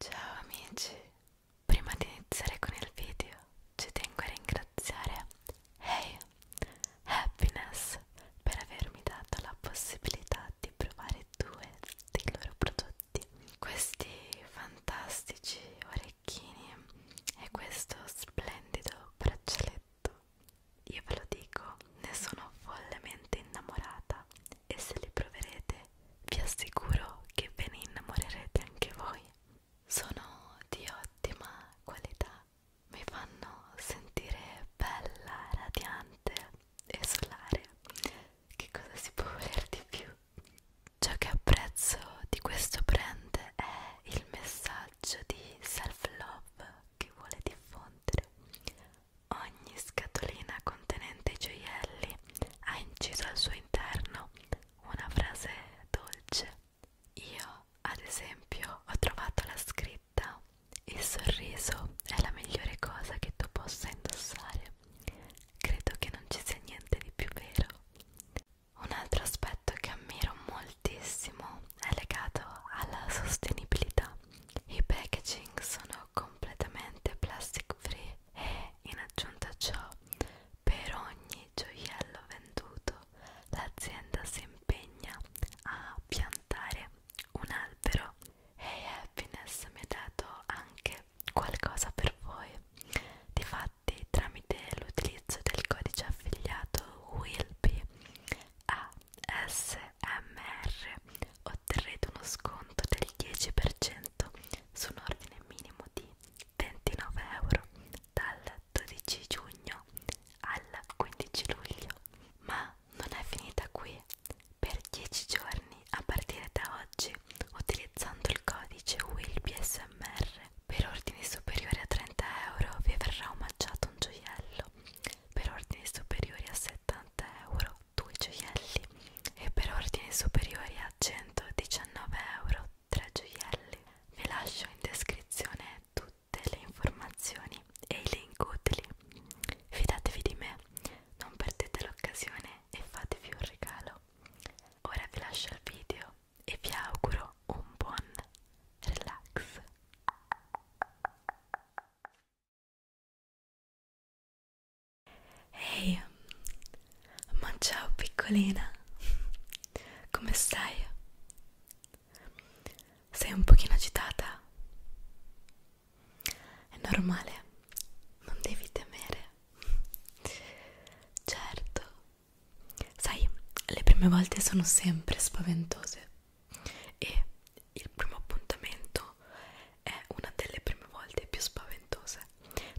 Ciao amici, prima di iniziare con il video ci tengo a ringraziare Hey Happiness per avermi dato la possibilità di provare due dei loro prodotti. Questi fantastici orecchini e questo splendido braccialetto. Io ve lo dico, ne sono follemente innamorata e se li proverete vi assicuro che ve ne innamorerete anche voi. Sono di ottima qualità, mi fanno sentire bella, radiante e solare. Che cosa si può voler di più? Ciò che apprezzo di questo brand è il messaggio di self-love che vuole diffondere Ogni scatolina contenente i gioielli ha inciso al suo interno una frase dolce. Io, ad esempio, ho trovato la scritta Il sorriso è la migliore cosa che tu possa indossare. Credo che non ci sia niente di più vero. Un altro aspetto che ammiro moltissimo è legato alla sostenibilità. I packaging sono completamente plastic free in aggiunta a ciò, per ogni gioiello venduto, l'azienda si impegna a piantare un albero e Happiness mi ha dato anche qualcosa per voi. Difatti, tramite l'utilizzo del codice affiliato WILLBY ASMR otterrete uno sconto del 10% su un ordine minimo di 29 euro dal 12 giugno al 15 luglio. Ma non è finita qui. Per 10 giorni a partire da oggi, utilizzando il codice WILBSMR per ordini superiori a 30 euro vi verrà omaggiato un gioiello, per ordini superiori a 70 euro due gioielli e per ordini superiori a 119 euro tre gioielli. Vi lascio in descrizione tutte le informazioni e i link utili. Fidatevi di me, non perdete l'occasione e fatevi un regalo. Ora vi lascio il video e vi auguro un buon relax. Ehi, hey, ma ciao piccolina, come stai? Sei un pochino agitata? È normale, non devi temere. Certo, sai, le prime volte sono sempre spaventose e il primo appuntamento è una delle prime volte più spaventose,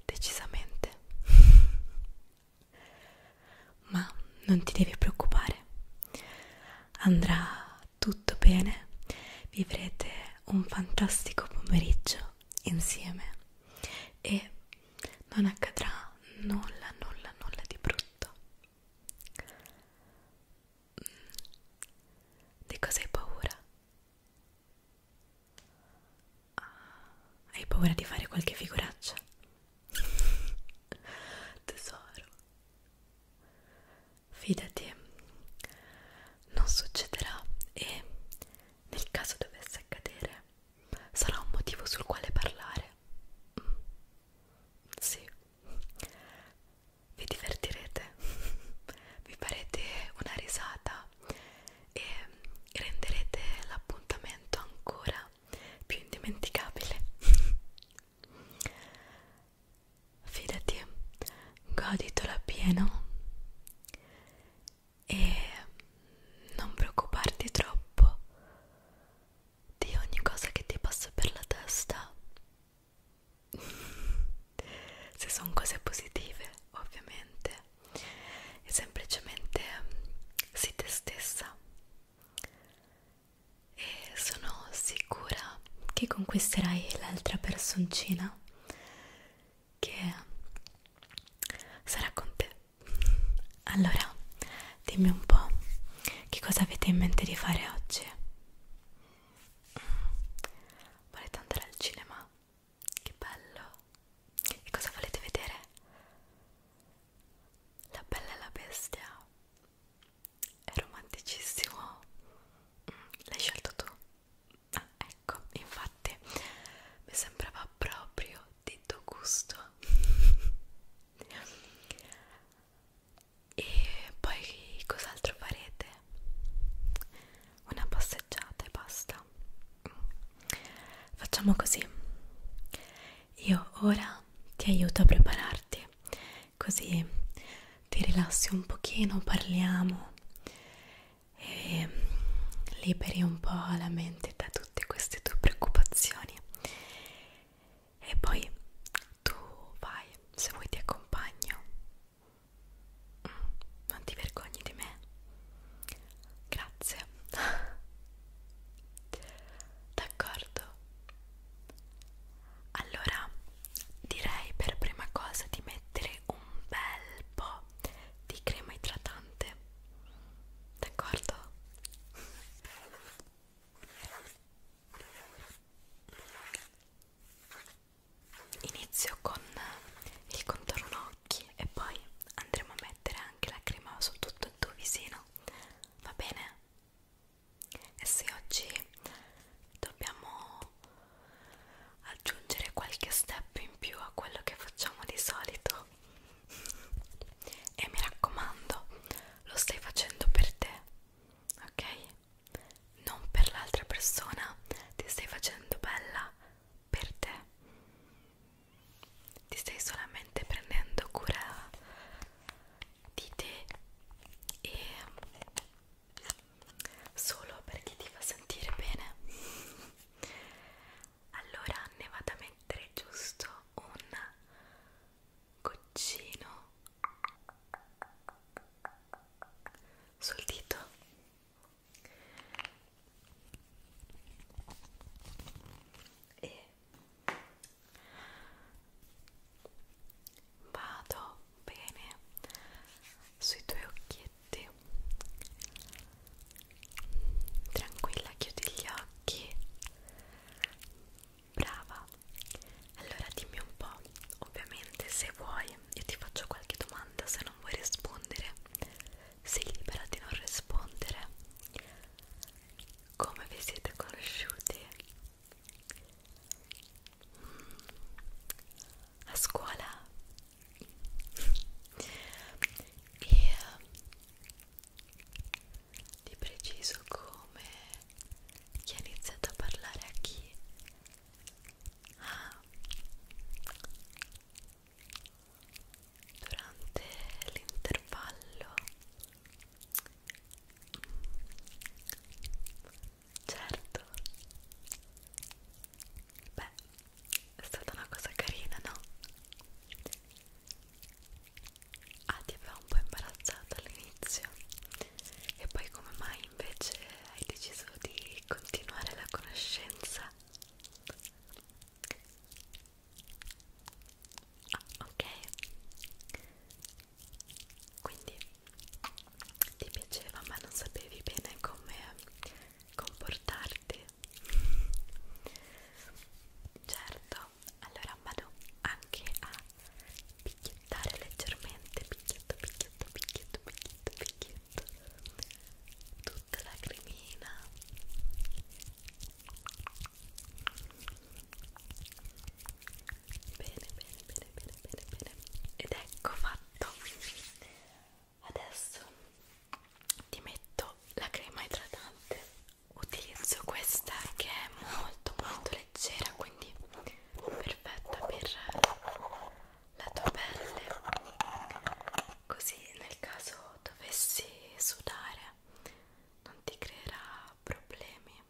decisamente. Ma non ti devi preoccupare, andrà tutto bene, vivrete un fantastico pomeriggio insieme e non accadrà nulla, nulla, nulla di brutto. Mm. Di cosa hai paura? Ah, hai paura di fare qualche figuraccia? Tesoro, fidati, non succederà e nel caso dovesse accadere sarà un motivo sul quale parlare. Mm. Sì, vi divertirete, vi farete una risata e renderete l'appuntamento ancora più indimenticabile. Fidati, goditelo appieno e non preoccuparti troppo di ogni cosa che ti passa per la testa. Se sono cose positive, ovviamente, e semplicemente mm, sii te stessa e sono sicura che conquisterai l'altra personcina che mm, sarà con te allora dimmi un po' che cosa avete in mente di fare oggi mm, volete andare al cinema che bello! E cosa volete vedere? La bella e la bestia. È romanticissimo. Mm, l'hai scelto tu? Ah, ecco, infatti mi sembrava proprio di tuo gusto. e poi cos'altro farete? Una passeggiata passeggiata e basta facciamo così io ora ti aiuto a prepararti così ti rilassi un pochino parliamo e liberi un po' la mente da tutte queste tue preoccupazioni e poi tu vai se vuoi ti accompagno non ti vergogni di me grazie d'accordo allora direi per prima cosa di mettere un bel po' di crema idratante d'accordo inizio con eh, il contorno occhi e poi andremo a mettere anche la crema su tutto il tuo visino va bene? e se oggi dobbiamo aggiungere qualche step in più a quello che facciamo di solito e mi raccomando lo stai facendo per te ok? non per l'altra persona ti stai facendo bella per te ti stai solamente prendendo cura di te e solo perché ti fa sentire bene allora ne vado a mettere giusto un goccino sul dito e vado bene sui tuoi occhietti tranquilla chiudi gli occhi brava allora dimmi un po' ovviamente se vuoi io ti faccio qualche domanda se non vuoi rispondere sei libera di non rispondere. Come vi siete conosciuti? A scuola? E eh, di preciso come chi ha iniziato a parlare a chi? Ah, durante l'intervallo certo beh è stata una cosa carina no? ah ti aveva un po' imbarazzata all'inizio e poi come mai invece hai deciso di continuare la conoscenza Ah, ok quindi ti piaceva ma non sapevi bene come comportarti certo allora vado anche a picchiettare leggermente picchietto picchietto picchietto picchietto picchietto tutta la cremina bene bene bene bene bene bene ed ecco fatto adesso ti metto la crema idratante utilizzo questa che è molto molto leggera quindi perfetta per la tua pelle così nel caso dovessi sudare non ti creerà problemi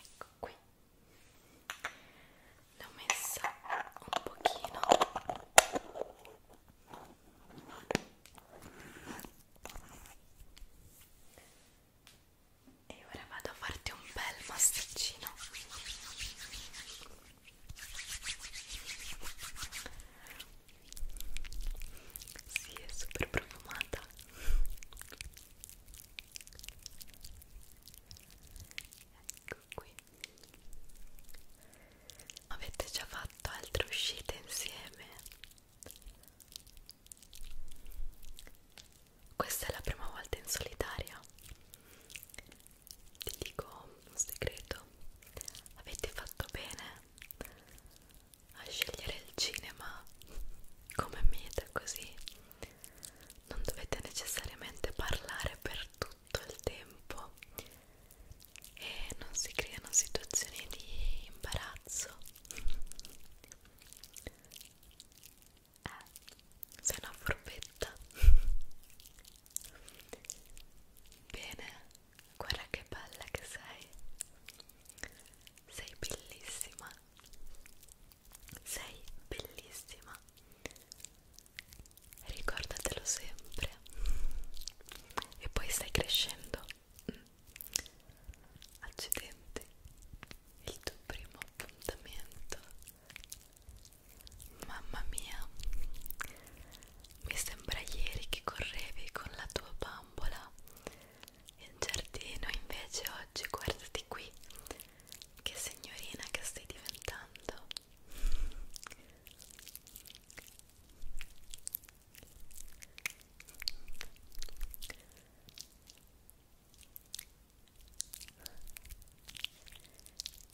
ecco qui l'ho messa un pochino e ora vado a farti un bel massaggino sì, è super profumata. Ecco qui. Avete già fatto altre uscite insieme? Questa è la prima volta in solitaria? ti dico un segreto avete fatto bene a scegliere il cinema come meta così non dovete necessariamente parlare per tutto il tempo e non si creano situazioni di imbarazzo eh, sei una forbetta Bene, guarda che bella che sei. Sei bellissima. Sei bellissima. Ricordatelo sempre. E poi stai crescendo. Accidenti, il tuo primo appuntamento Mamma mia, mi sembra ieri che correvi con la tua bambola in giardino, invece oggi guardati qui, che signorina che stai diventando.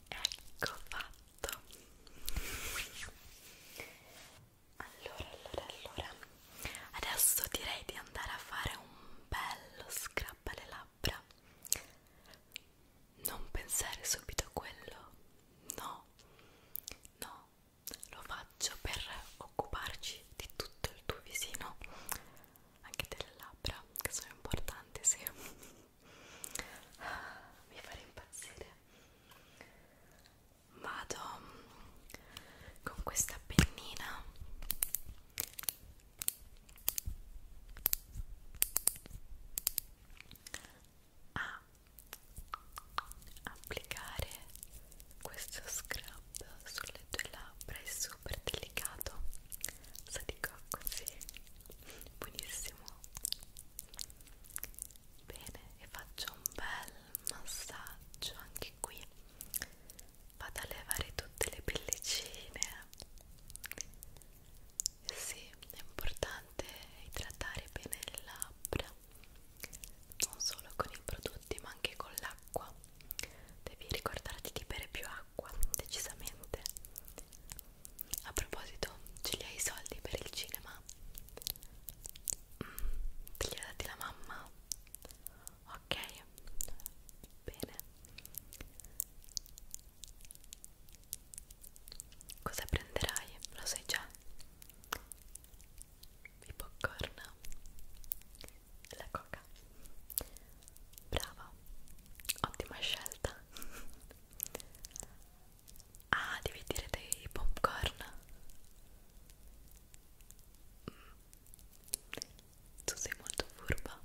Ecco fatto tutto esatto. allora allora allora adesso direi di andare a fare un bello scrub alle labbra non pensare subito a quello no no lo faccio per occuparci di tutto il tuo visino anche delle labbra che sono importanti sì mi farà impazzire vado mm, con questa pennina a applicare questo scrub sulle tue labbra è super delicato sa di cocco sì buonissimo bene e faccio un bel massaggio anche qui vado a levare tutte le pellicine sì è importante idratare bene le labbra non solo con i prodotti ma anche con l'acqua devi ricordarti di bere più acqua decisamente a proposito ce li hai i soldi per il cinema? Mm, te li ha dati la mamma? ok bene cosa prenderai? lo sai già? i popcorn e la coca brava ottima scelta Ah, devi dire dei popcorn. Mm. Tu sei molto furba.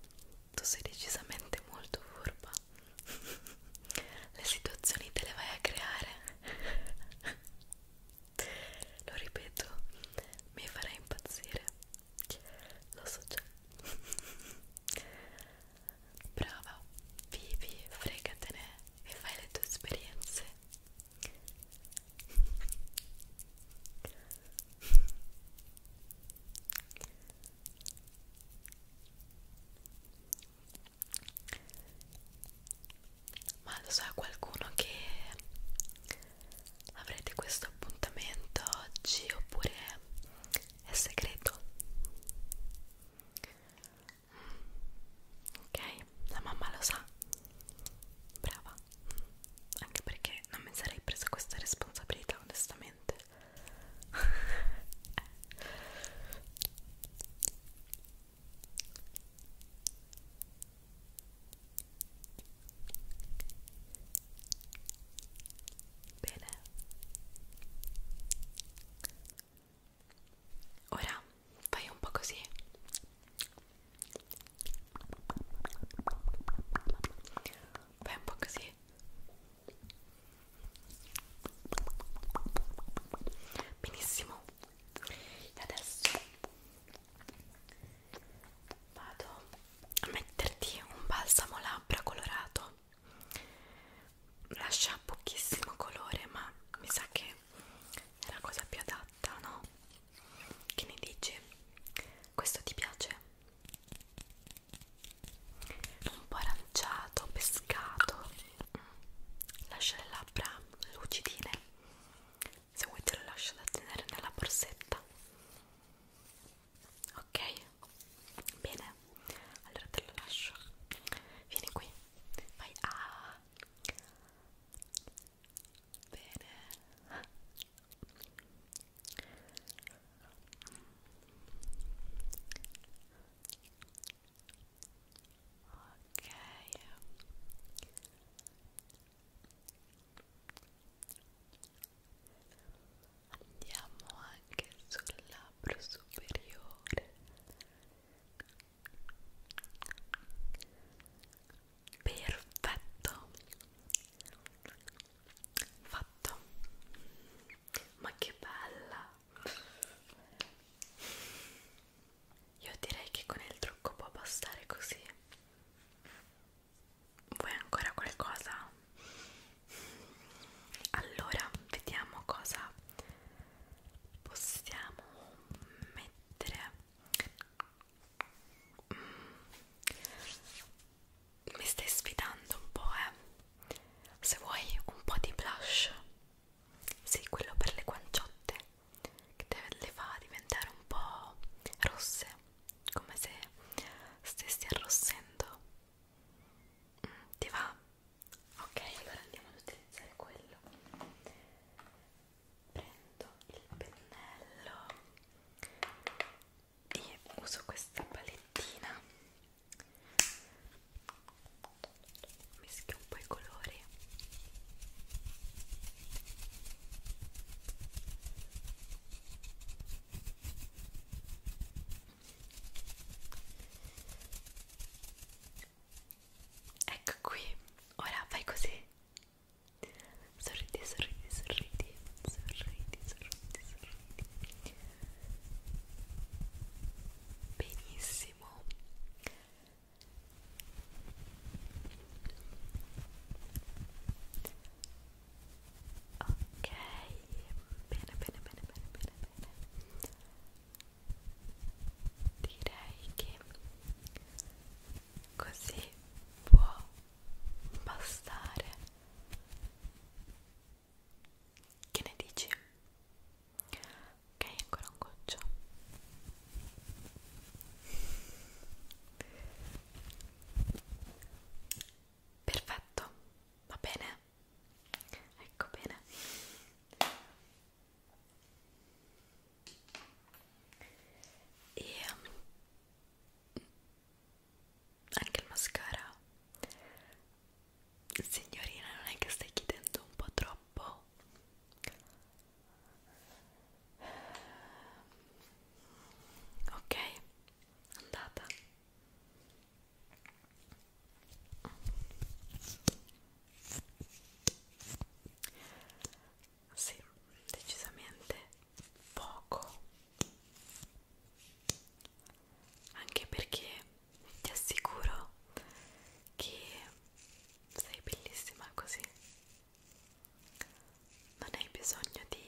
Tu sei decisamente molto furba. Le situazioni te le vai a creare. Lo ripeto, mi farai impazzire. Lo so già. brava, vivi, fregatene e fai le tue esperienze ma lo sa so, qualcuno che avrete questo appuntamento oggi oppure è segreto ok la mamma lo sa brava anche perché non mi sarei presa questa responsabilità onestamente Bene Ora fai un po' così Fai un po' così Benissimo E adesso vado a metterti un balsamo labbra colorato lascia pochissimo colore ma mi sa che è la cosa più adatta no? che ne dici? questo ti piace? un po' aranciato, pescato mm. lascia le labbra lucidine se vuoi te lo lascio da tenere nella borsetta ok Bene, allora te lo lascio. Vieni qui, vai a. Ah. Bene. Ok. Andiamo anche sul labbro superiore cuore perfetto fatto ma che bella io direi che con il trucco può bastare così vuoi ancora qualcosa? allora vediamo cosa possiamo mettere mm. mi stai sfidando un po' eh se vuoi un po' di blush sì quello per le guanciotte che te le fa diventare un po' rosse come se stessi arrossendo mm, ti va? ok allora andiamo ad utilizzare quello prendo il pennello e uso questa palettina mischio un po' i colori Ecco qui, ora fai così. Sorridi, sorridi, sorridi, sorridi, sorridi, sorridi. Benissimo. Ok, bene, bene, bene, bene, bene, bene direi che così può bastare che ne dici? ok ancora un goccio perfetto va bene ecco bene e um, anche il mascara signorina non è che stai chiedendo un po' troppo ok andata sì, decisamente poco. Anche perché ti assicuro che sei bellissima così. Non hai bisogno di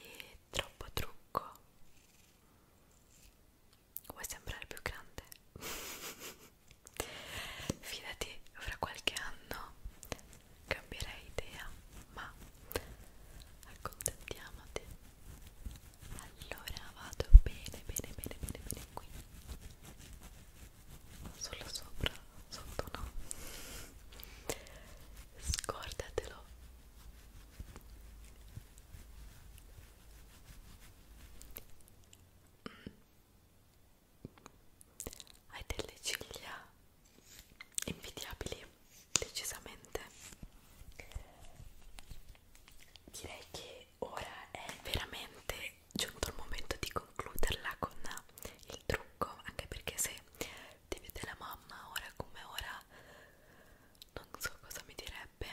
troppo trucco vuoi sembrare più grande? Fidati, fra qualche anno cambierai idea, ma accontentiamoti. Allora vado bene, bene, bene, bene, bene qui. Solo sopra, sotto no. Scordatelo hai delle ciglia invidiabili decisamente direi che ora è veramente giunto il momento di concluderla con il trucco anche perché se ti vede la mamma ora come ora non so cosa mi direbbe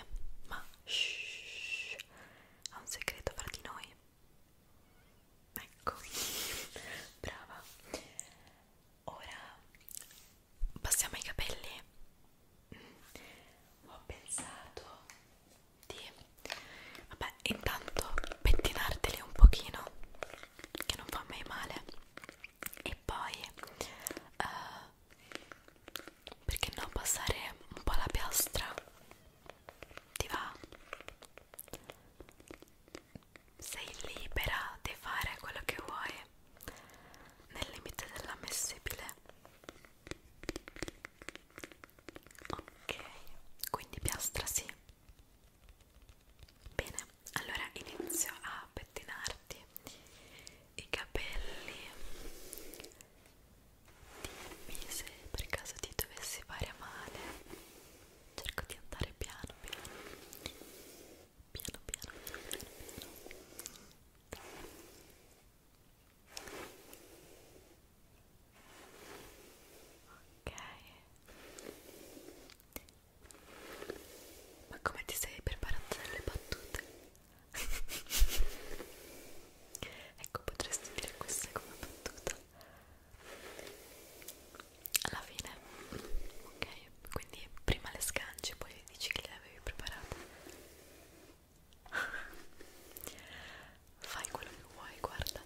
ma shh, ha un segreto fra di noi ecco brava ora passiamo ai capelli mm. ho pensato di vabbè intanto pettinarteli un pochino che non fa mai male e poi eh, perché no passare un po' la piastra ti va sei libera di fare quello che vuoi nel limite dell'ammissibile ok quindi piastra sì bene allora inizio a pettinarti i capelli quindi se per caso ti dovessi fare male, cerco di andare piano piano. Piano piano piano piano piano. Ok. Ma come ti sei preparato alle battute? ecco potresti dire questa come battuta alla fine ok quindi prima le sganci poi le dici che le avevi preparate fai quello che vuoi guarda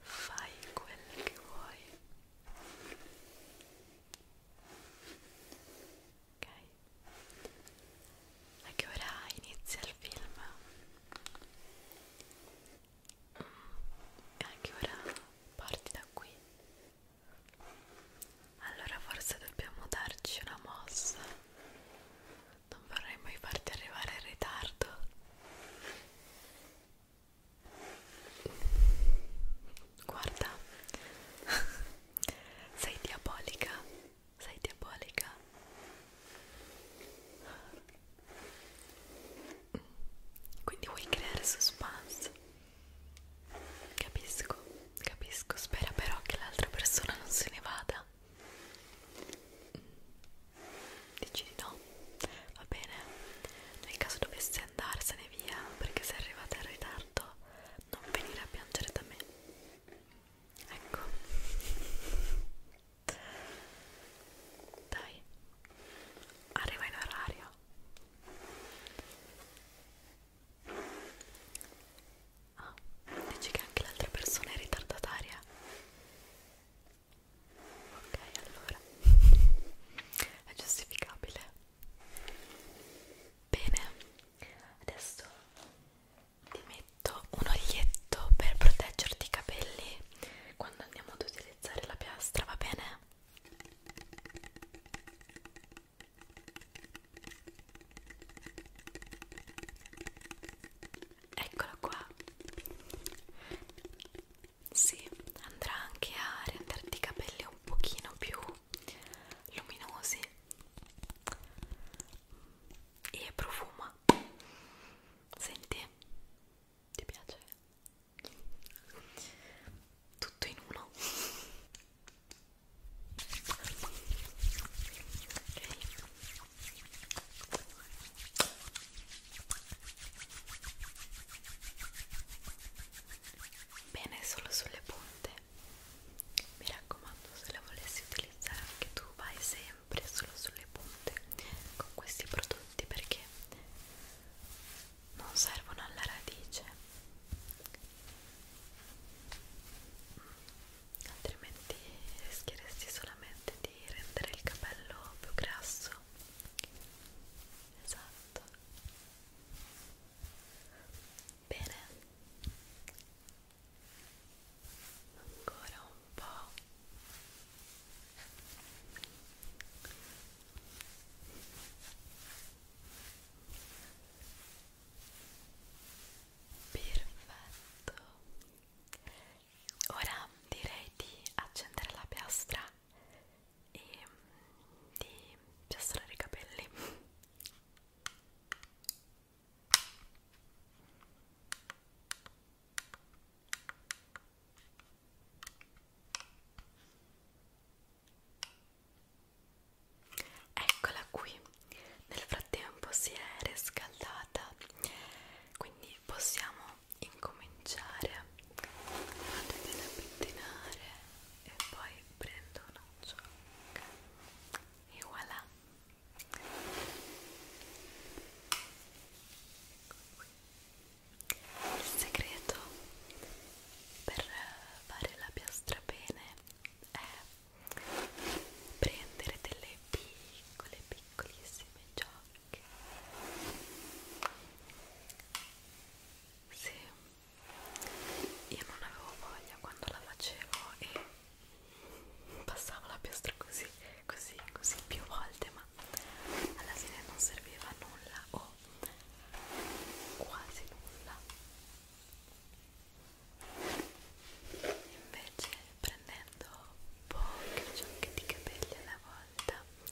fai quello che vuoi ok? A che ora inizia il film? Mm, a che ora parti da qui? Allora forse dobbiamo darci una mossa. Non vorrei mai farti arrivare in ritardo. Guarda, Sei diabolica, sei diabolica. Quindi vuoi creare suspense? Capisco, capisco. Spera però che l'altra persona non se ne vada. Dici di no? Va bene. Nel caso dovesse andarsene via perché sei arrivata in ritardo, non venire a piangere da me ecco dai arriva in orario ah dici che anche l'altra persona è ritardataria ok allora è giustificabile bene Adesso ti metto un oglietto per proteggerti i capelli quando andiamo ad utilizzare la piastra, va bene? Eccola qua. Sì, andrà anche a renderti i capelli un pochino più luminosi e profuma senti ti piace tutto in uno okay. Bene, solo sulle punte mi raccomando se la volessi utilizzare anche tu vai sempre solo sulle punte con questi prodotti perché non servono alla radice mm, altrimenti rischieresti solamente di rendere il capello più grasso esatto bene ancora un po' perfetto ora direi di accendere la piastra e di piastrare i capelli Eccola qui, nel frattempo si è riscaldata, quindi possiamo incominciare. Vado bene a pettinare e poi prendo una ciocca e voilà il segreto per fare la piastra bene è prendere delle piccole piccolissime giocche sì, io non avevo voglia quando la facevo e passavo la piastra così, così, così più volte, ma alla fine non serviva a nulla o quasi nulla. Invece prendendo poche ciocche di capelli alla volta, il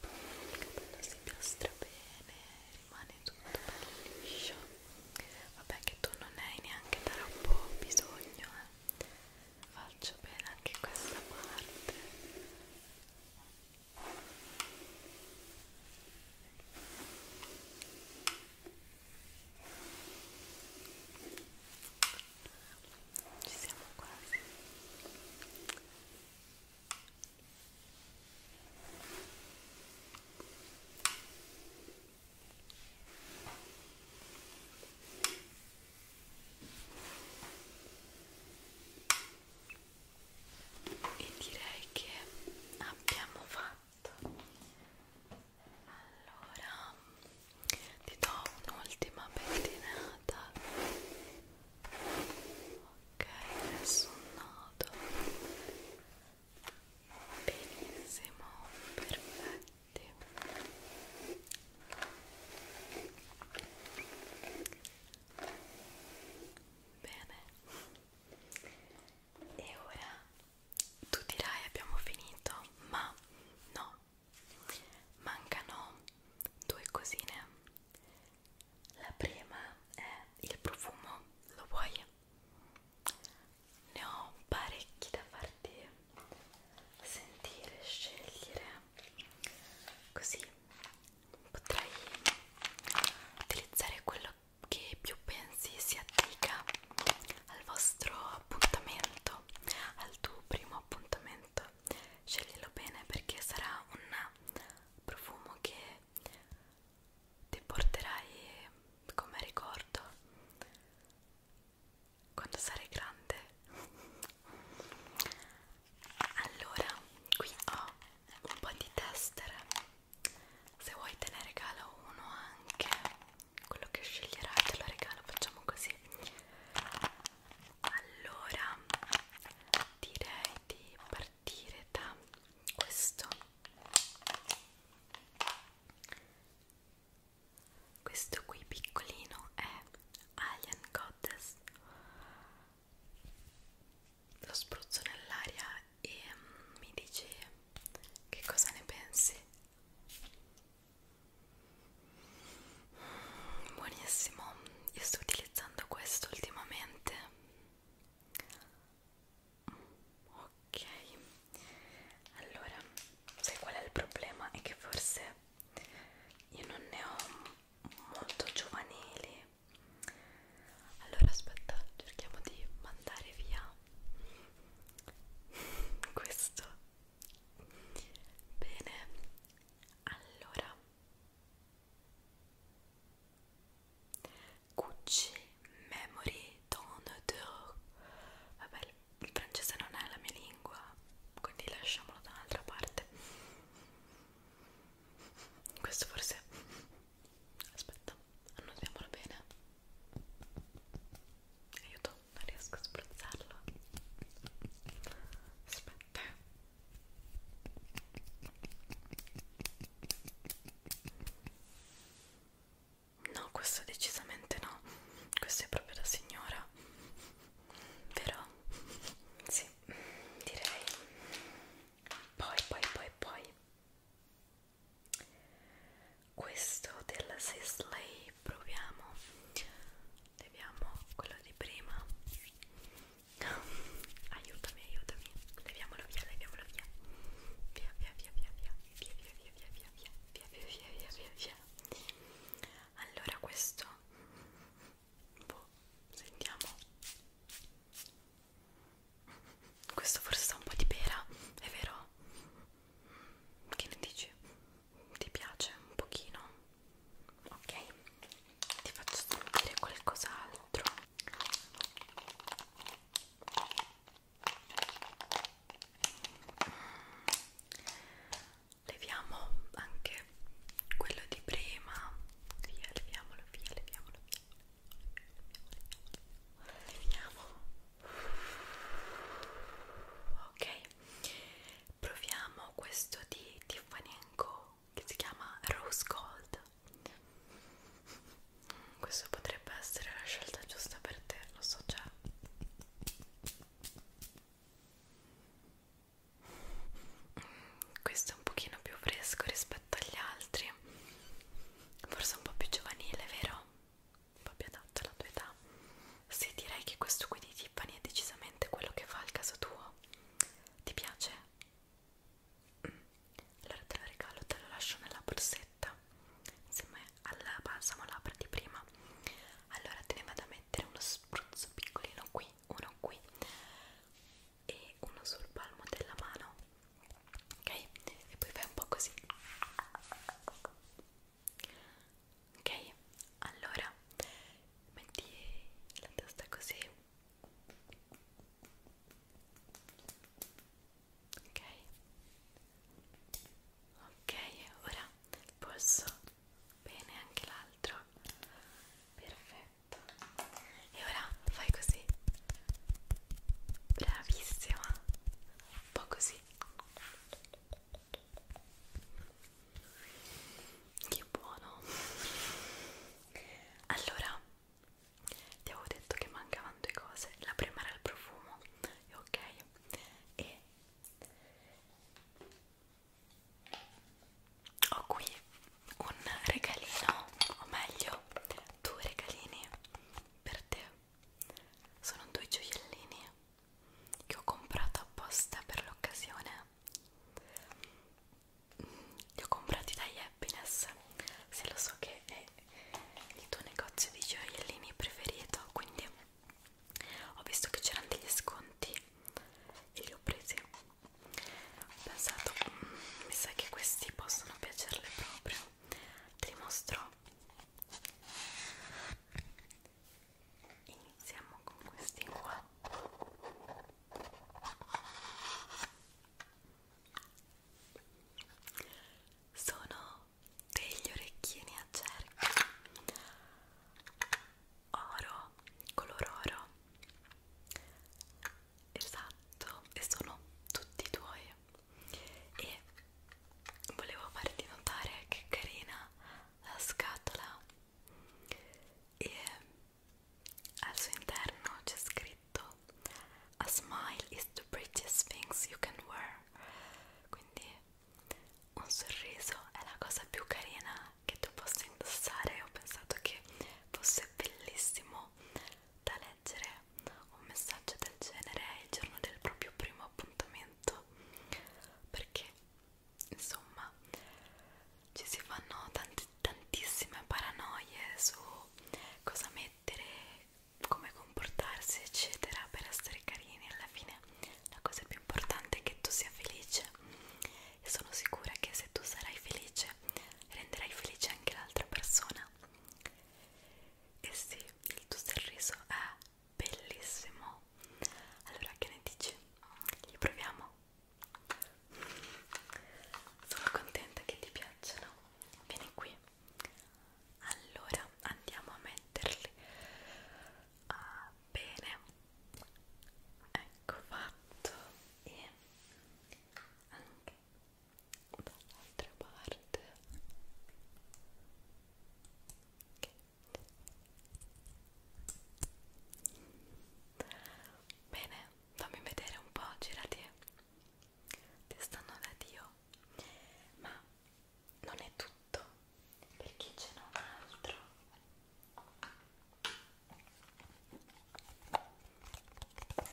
capello si piastra bene, rimane tutto bello liscio vabbè che tu non hai neanche troppo bisogno eh. faccio bene anche questa parte ci siamo quasi e direi che abbiamo fatto allora ti do un'ultima pettinata ok nessun nodo benissimo perfetti bene e ora tu dirai abbiamo finito ma no mancano due cosine la prima è il profumo lo vuoi ne ho parecchi da farti sentire, scegliere così potrai utilizzare quello che più pensi si addica al vostro appuntamento, al tuo primo appuntamento. Sceglilo bene perché sarà un profumo che ti porterai come ricordo quando sarai grande allora qui ho un po' di tester se vuoi te ne regalo uno anche quello che sceglierai te lo regalo facciamo così allora direi di partire da questo questo qui piccolino è Alien Goddess lo spruzzo nell'aria e mm, mi dice che cosa ne pensi buonissimo io sto utilizzando questo ultimamente ok allora sai qual è il problema? è che forse io non ne ho molto giovanili allora aspetta cerchiamo di mandare via questo bene allora Gucci Memory Tonateur Vabbè, il francese non è la mia lingua, quindi lasciamolo da un'altra parte. Questo forse... Aspetta, annotiamolo bene. Aiuto, non riesco a spruzzarlo. Aspetta. No, questo decisamente no. Questo è proprio da signora. Però, sì, direi. Poi, poi, poi, poi. Questo della Sisley proviamo. Leviamo quello di prima. Aiutami, aiutami. Leviamolo via, leviamolo via. Via, via, via, via, via via via via via via via via via via via via via allora questo boh, sentiamo questo forse ha un po' di pera è vero? che ne dici? ti piace un pochino? ok ti faccio sentire qualcos'altro leviamo anche quello di prima via leviamolo via leviamolo via leviamo ok proviamo questo di Tiffany Co che si chiama Rose Gold questo potrebbe essere la scelta giusta per te, lo so già. Questo è un pochino più fresco rispetto agli altri. Forse un po' più giovanile, vero? Un po' più adatto alla tua età. Sì, direi che questo qui di Tiffany è decisamente quello che fa il caso tuo. Ti piace? Mm. Allora te lo regalo, te lo lascio nella borsetta rosetta insieme al balsamo labbra di prima allora te ne vado a mettere uno spruzzo piccolino qui uno qui e uno sul palmo della mano ok e poi fai un po' così ok allora metti la testa così ok ok ora posso bene anche l'altro perfetto e ora fai così bravissima un po' così che buono allora ti avevo detto che mancava erano due cose la prima era il profumo ok e ho qui un regalino o meglio due regalini per te sono due gioiellini che ho comprato apposta per l'occasione mm, li ho comprati da Happiness se lo so che è è il tuo negozio di gioiellini preferito quindi ho visto che c'erano degli sconti e li ho presi ho pensato mm, mi sa che questi possono piacerle proprio te li mostro iniziamo con questi qua sono degli orecchini a cerchio oro, color oro esatto, e sono tutti tuoi e volevo farti notare che carina la scatola e al suo interno c'è scritto a smile is the prettiest things you can wear quindi un sorriso è la cosa più carina che tu possa indossare ho pensato che fosse bellissimo da leggere un messaggio del genere il giorno del proprio primo appuntamento perché insomma ci si fanno tanti, tantissime paranoie su cosa mettere come comportarsi eccetera per essere carini alla fine la cosa più importante è che tu sia felice e sono sicura che se tu sarai felice renderai felice anche l'altra persona e sì il tuo sorriso è bellissimo allora che ne dici? li proviamo? sono contenta che ti piacciono vieni qui allora andiamo a metterli ah, bene ecco fatto e anche dall'altra parte okay. bene fammi vedere un po' girati ti stanno da dio ma non è tutto perché ce n'è un altro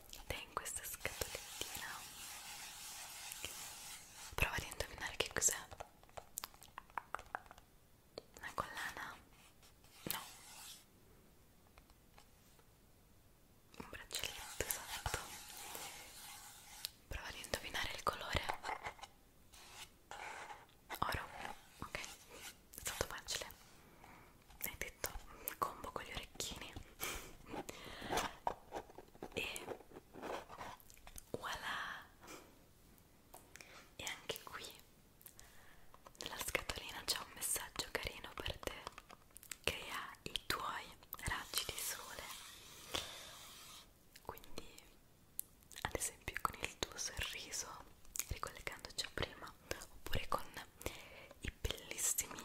ed è in questa scatolettina provate a indovinare che cos'è una collana? no un braccialetto esatto Prova ad indovinare il colore. Oro. Ok, è stato facile. Hai detto combo con gli orecchini. e voilà! E anche qui nella scatolina c'è un messaggio carino per te. Crea i tuoi raggi di sole quindi ad esempio con il tuo sorriso ricollegandoci a prima oppure con i bellissimi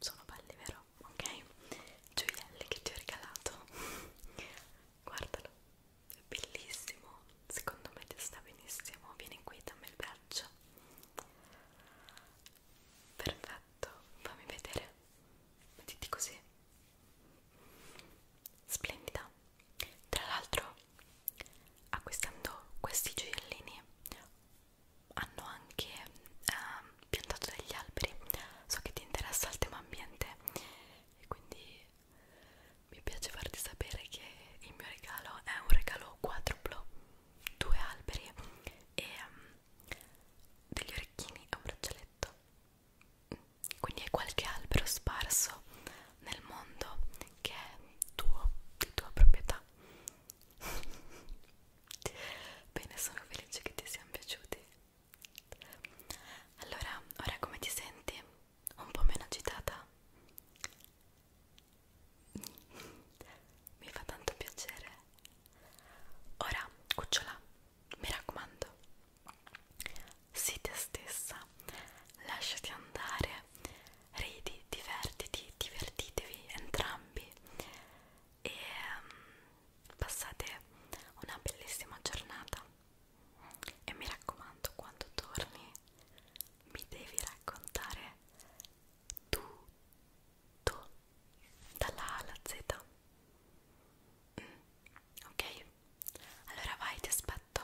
sono belli vero? ok? gioielli che ti ho regalato guardalo è bellissimo secondo me ti sta benissimo vieni qui dammi il braccio Perfetto, fammi vedere. Mettiti così. Splendida. Tra l'altro, acquistando questi gioiellini hanno anche ehm, piantato degli alberi. So che ti interessa il tema ambiente e quindi mi piace farti sapere che il mio regalo è un regalo quadruplo, due alberi e um, degli orecchini a braccialetto quindi è qualche albero sparso nel mondo che è tuo, di tua proprietà bene sono felice che ti siano piaciuti allora ora come ti senti? un po' meno agitata? mi fa tanto piacere ora cucciola mi raccomando, sii te stessa, lasciati andare, ridi, divertiti, divertitevi entrambi e um, passate una bellissima giornata. E mi raccomando, quando torni mi devi raccontare tutto dalla A alla Z Mm, ok, allora vai, ti aspetto.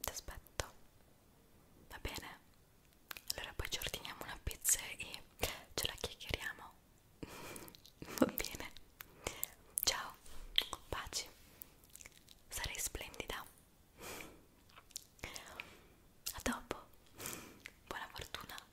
Ti aspetto. Va bene? Allora poi ci ordiniamo una pizza e ce la chiacchieriamo. Va bene. Ciao, paci. Sarai splendida. A dopo. Buona fortuna.